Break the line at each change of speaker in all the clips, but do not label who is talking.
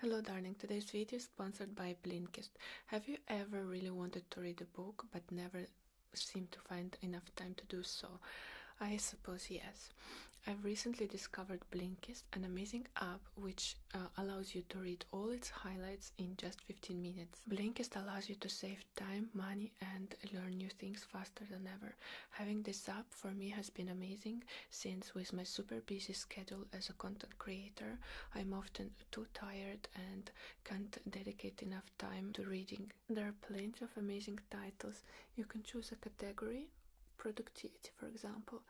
Hello darling, today's video is sponsored by Blinkist. Have you ever really wanted to read a book but never seemed to find enough time to do so? I suppose yes. I've recently discovered Blinkist, an amazing app which uh, allows you to read all its highlights in just 15 minutes. Blinkist allows you to save time, money and learn new things faster than ever. Having this app for me has been amazing since, with my super busy schedule as a content creator, I'm often too tired and can't dedicate enough time to reading. There are plenty of amazing titles. You can choose a category, productivity, for example,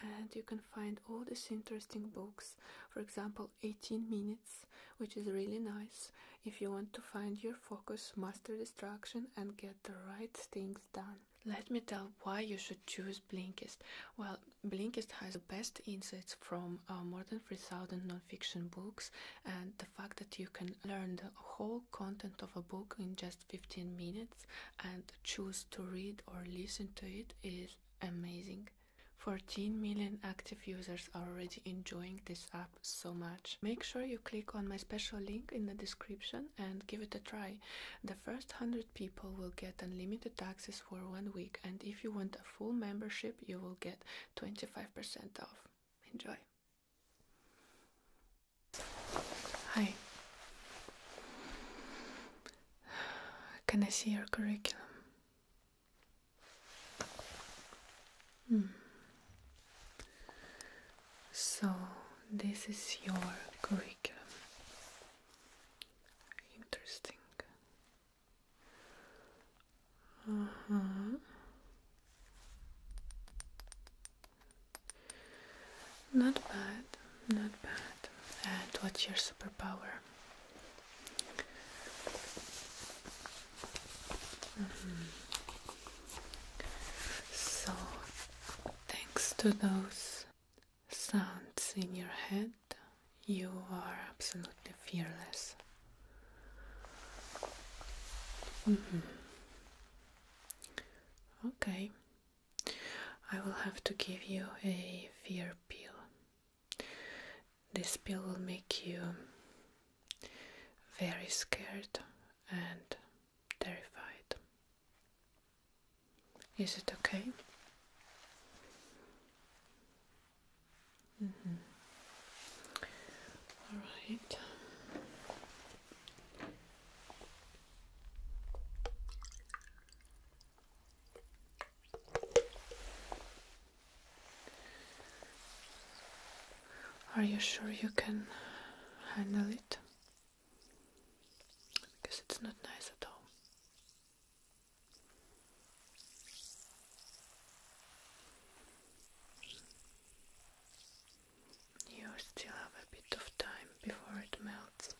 and you can find all these interesting books. For example, 18 Minutes, which is really nice if you want to find your focus, master distraction, and get the right things done. Let me tell why you should choose Blinkist. Well, Blinkist has the best insights from uh, more than 3,000 nonfiction books, and the fact that you can learn the whole content of a book in just 15 minutes and choose to read or listen to it is amazing. 14 million active users are already enjoying this app so much. Make sure you click on my special link in the description and give it a try. The first 100 people will get unlimited access for one week, and if you want a full membership, you will get 25% off. Enjoy. Hi. Can I see your curriculum? Hmm. So, this is your curriculum. Interesting. Uh-huh. Not bad, not bad. And what's your superpower? Mm-hmm. So, Thanks to those sounds in your head, you are absolutely fearless. Mm-hmm. Okay, I will have to give you a fear pill. This pill will make you very scared and terrified. Is it okay? Mm-hmm. All right. Are you sure you can handle it? because it's not nice at all. You still have a bit of time before it melts.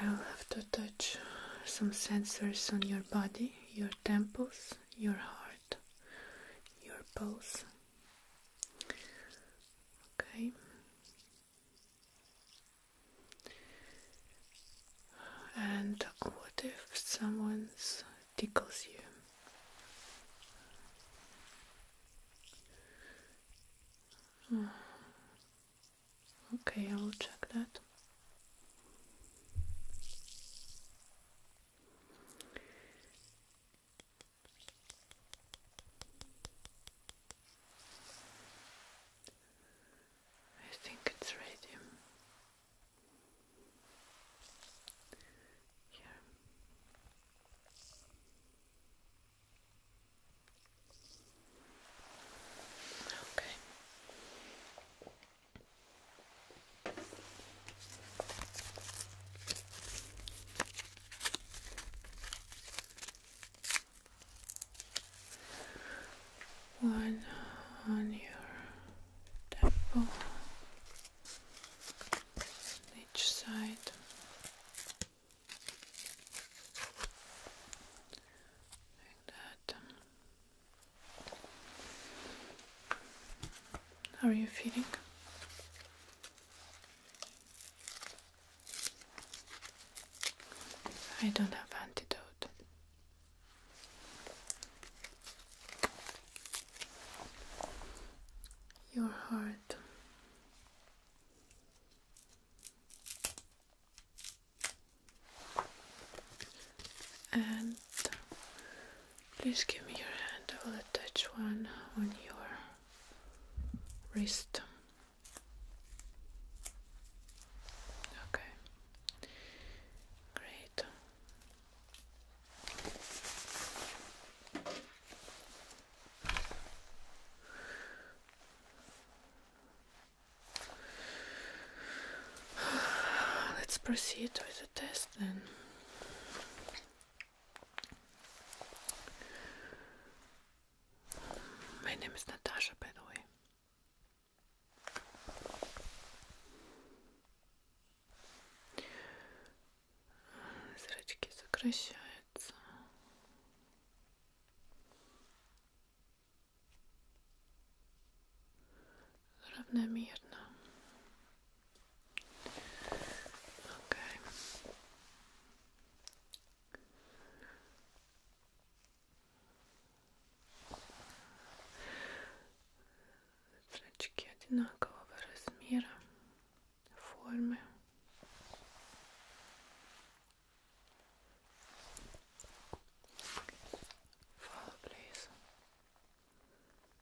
I will have to touch some sensors on your body, your temples, your heart, your pulse, Okay. And what if someone tickles you? Okay, I will check that. I think it's radium. Here. Okay. One on your temple, each side. Like that. How are you feeling? I don't have antidote. Your heart. And Please give me your hand. I will attach one on your wrist. Okay. Great. Let's proceed with the test then. My name is Natasha, by the way. Зрачки сокращаются. Равномерно. Okay. Зрачки одинакового размера, формы. Follow, please.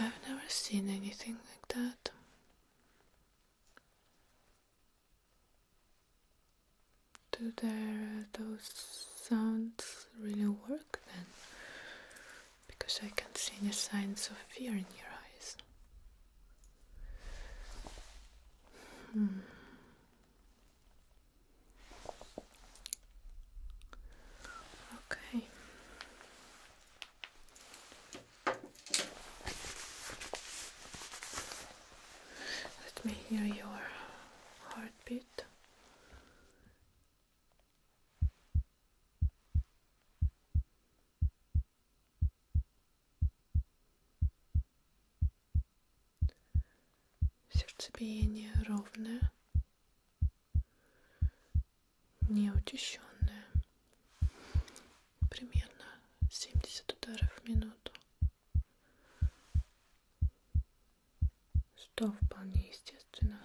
I've never seen anything like that. Do uh, those sounds really work then? Because I can't see any signs of fear in your eyes. Okay. Let me hear your heartbeat. Сердцебиение ровное, неучащенное, примерно 70 ударов в минуту. Что вполне естественно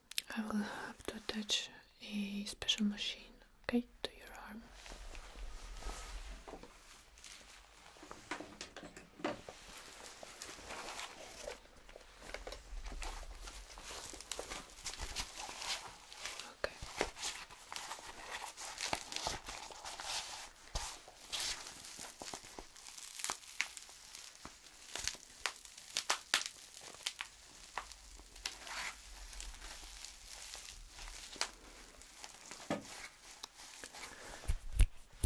I will have to attach a special machine, okay, to your arm. Okay.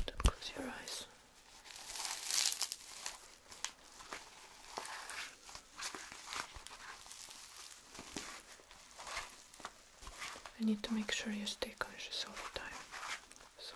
Don't close your eyes. I need to make sure you stay conscious all the time. So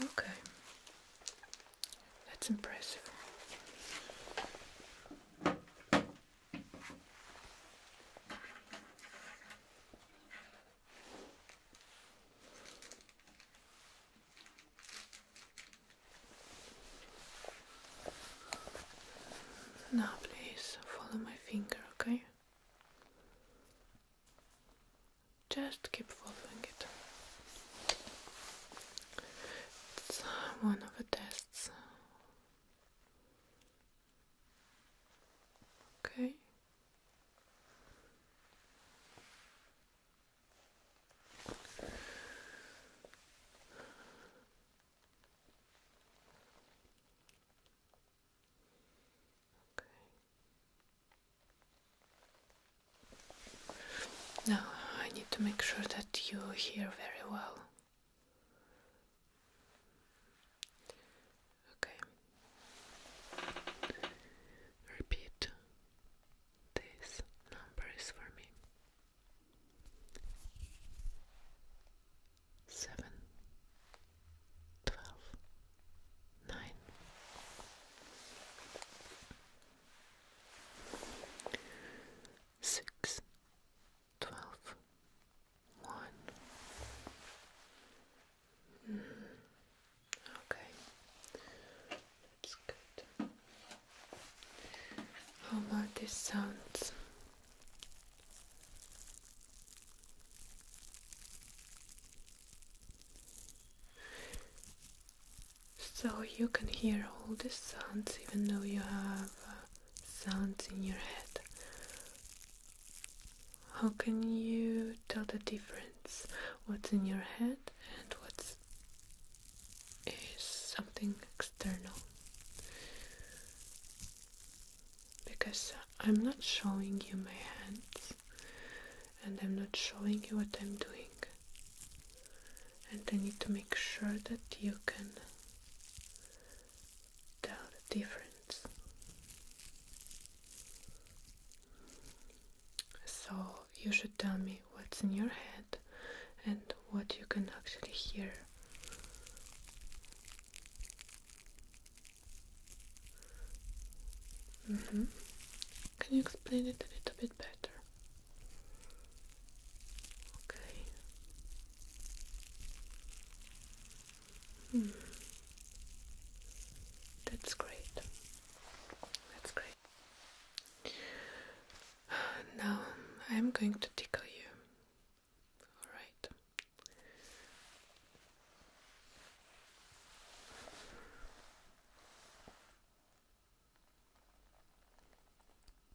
Okay, that's impressive. Now, please follow my finger, okay? Just keep following it. It's uh, one of the tests Okay. Okay. Now I need to make sure that you hear very well. Okay. Repeat these numbers for me. Seven, twelve, nine. Six, twelve, one. Hmm. Okay, that's good. How about these sounds? So you can hear all these sounds even though you have uh, sounds in your head. How can you tell the difference? What's in your head and what's is something external? Because I'm not showing you my hands and I'm not showing you what I'm doing. And I need to make sure that you can tell the difference. So you should tell me what's in your head and what you can actually hear. Mm-hmm. Can you explain it a little bit better? Okay. Hmm. That's great. That's great. Now I'm going to tickle you. All right.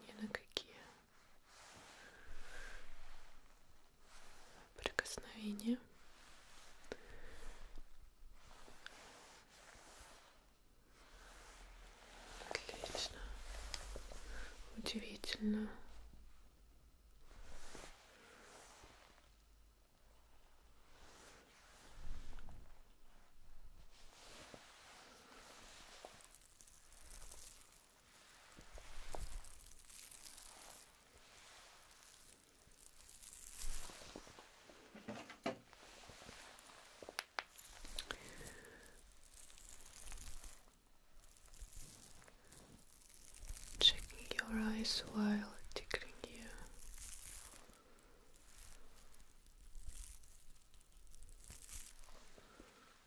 ни на какие прикосновения. Отлично. Удивительно. Checking your eyes while tickling you.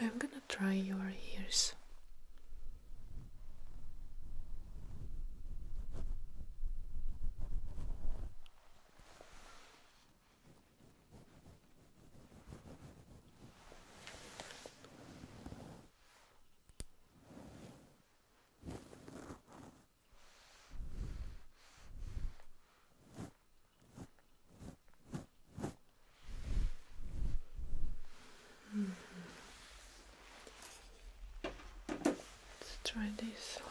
I'm gonna try your ears. Let's try this one.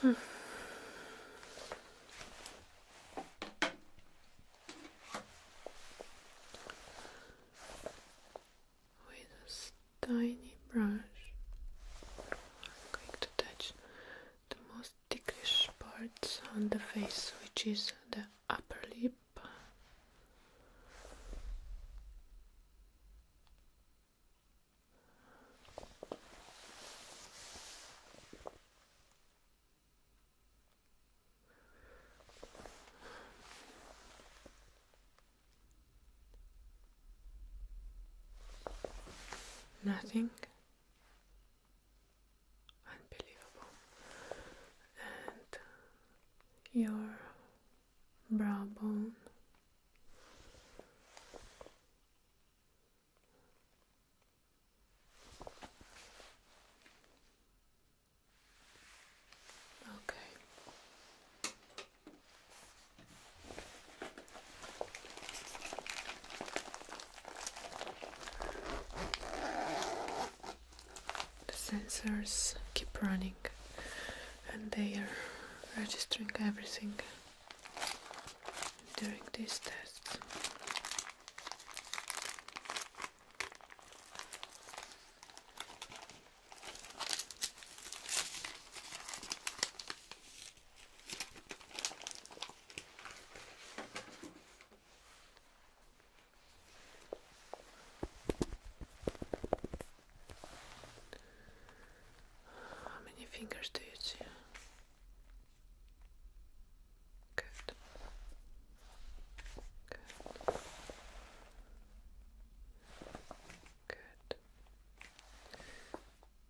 Okay. Hmm. With this tiny brush. I'm going to touch the most ticklish parts on the face, which is the upper lip. Nothing. Unbelievable. And your brow bone. Okay. The sensors keep running and they are registering everything during this test. How many fingers do you see? Good. Good. Good.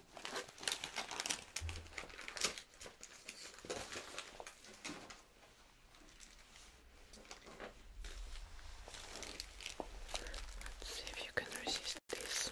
Let's see if you can resist this.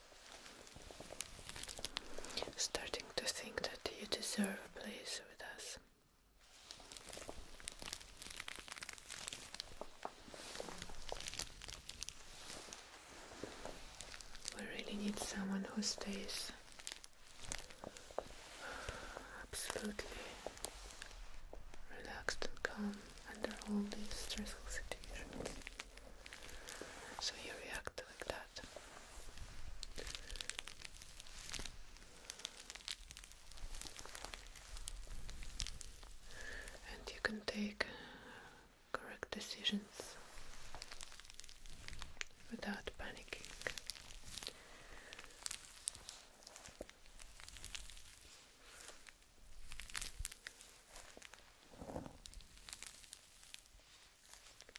Starting to think that you deserve a place with us. We really need someone who stays absolutely relaxed and calm under all these stressful situations. So you react like that. And you can take correct decisions without panicking.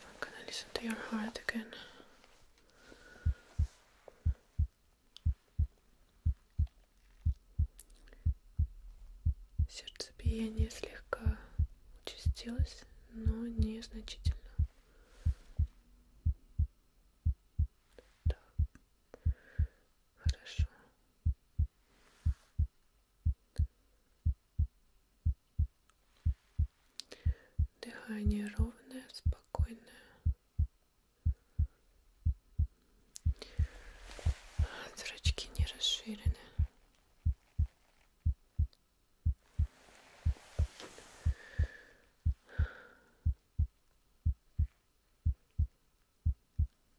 I'm gonna listen to your heart again. Сердцебиение слегка участилось, но незначительно. Так. Хорошо. Дыхание ровное, спокойное. Зрачки не расширены.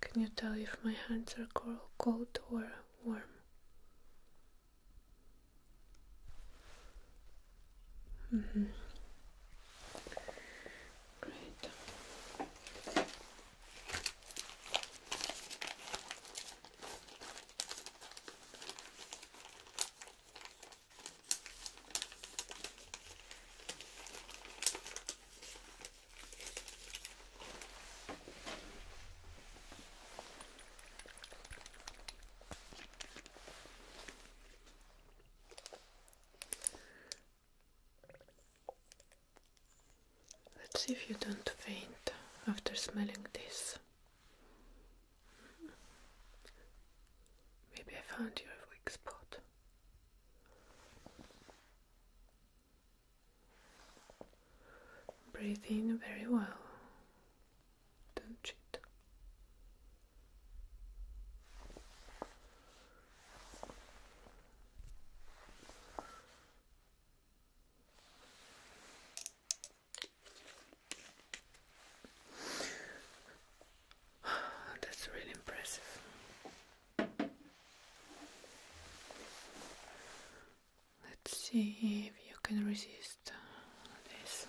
Can you tell if my hands are cold or warm? Mm -hmm. Great. Let's see if you don't faint after smelling this. Maybe I found your weak spot. Breathing very well. Don't cheat. That's really impressive. Let's see if you can resist this.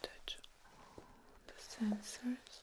Detach all the sensors.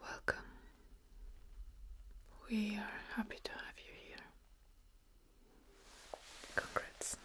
Welcome. We are happy to have you here. Congrats.